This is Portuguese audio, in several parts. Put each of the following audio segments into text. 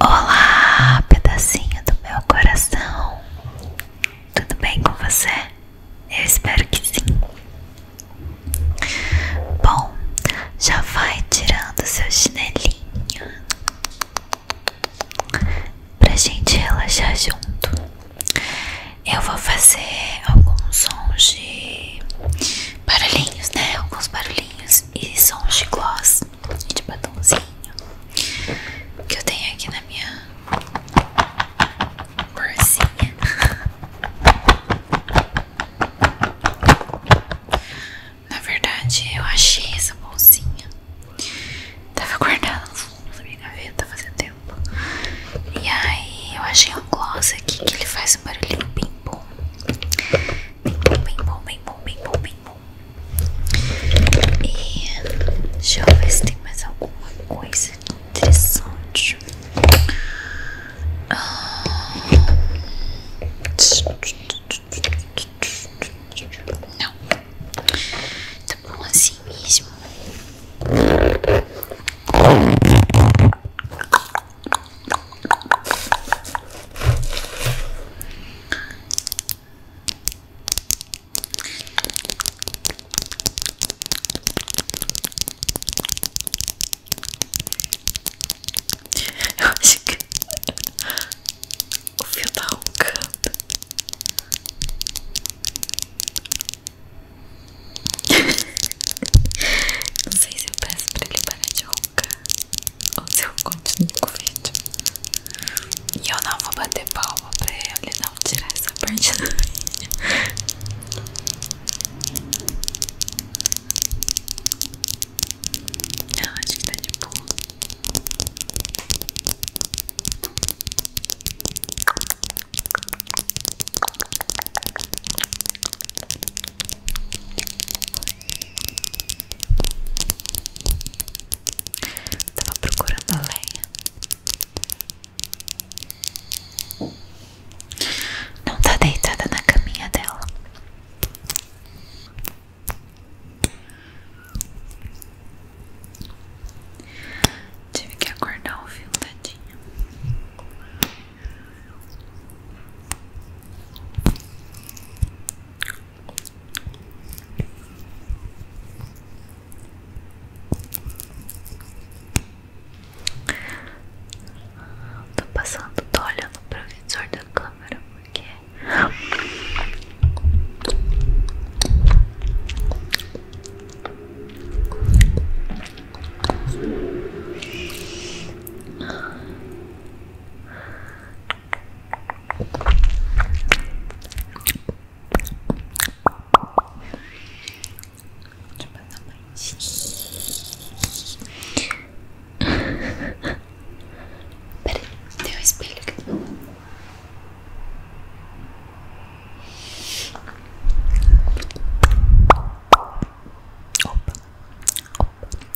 Olá, pedacinho do meu coração. Tudo bem com você? Eu espero que sim. Bom, já vai tirando seu chinelinho pra gente relaxar junto. Eu vou fazer alguns sons de barulhinhos, né? Alguns barulhinhos e sons de gloss e de batonzinho que eu tenho aqui na minha bolsinha. Na verdade, eu achei essa bolsinha. Tava guardada na minha gaveta fazia tempo. E aí eu achei um gloss aqui que ele faz um barulhinho bem bom. Bem bom, bem bom, bem bom, bem bom, bom. E deixa eu ver se tem mais alguma coisa interessante. Ah. Não, tá bom assim mesmo. Eu acho que o fio tá roncando. Não sei se eu peço para ele parar de roncar boca ou se com o vídeo. E eu não vou bater palma pra ele não tirar essa parte do vídeo. Eu acho que tá de boa. Tava procurando a lenha. Não tá deitada na caminha dela. Tive que acordar o fio, Tô passando, tô olhando pro visor da câmera porque Deixa Peraí, tem espelho aqui. Opa, opa.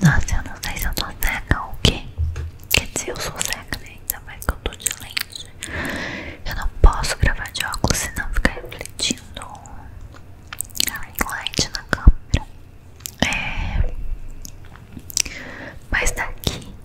Nossa, eu não sei se eu tô cega ou o quê? Quer dizer, eu sou cega, né? Ainda mais que eu tô de lente. Eu não posso gravar de óculos, não fica refletindo a light na câmera. É. Mas daqui tá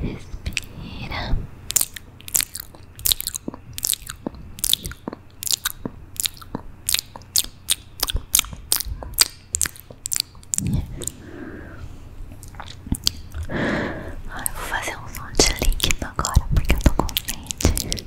Respira. Ah, vou fazer um som de líquido agora porque eu tô com sede.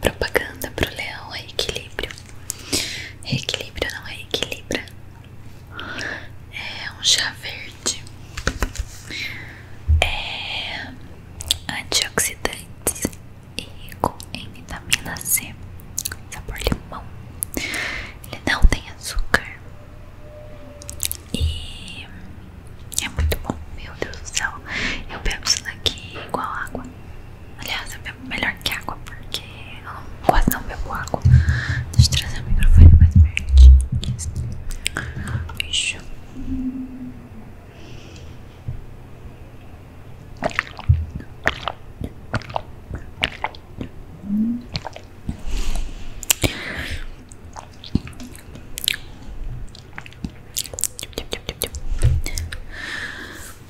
Propaganda para o leão é equilíbrio. não é equilibra. É um chá verde. É antioxidante e com vitamina C. Sabor limão. Ele não tem açúcar. E é muito bom. Meu Deus do céu. Eu bebo isso daqui igual água. Aliás, é melhor que água porque ela não, quase não bebo água. Deixa eu trazer o microfone mais perto. Isso.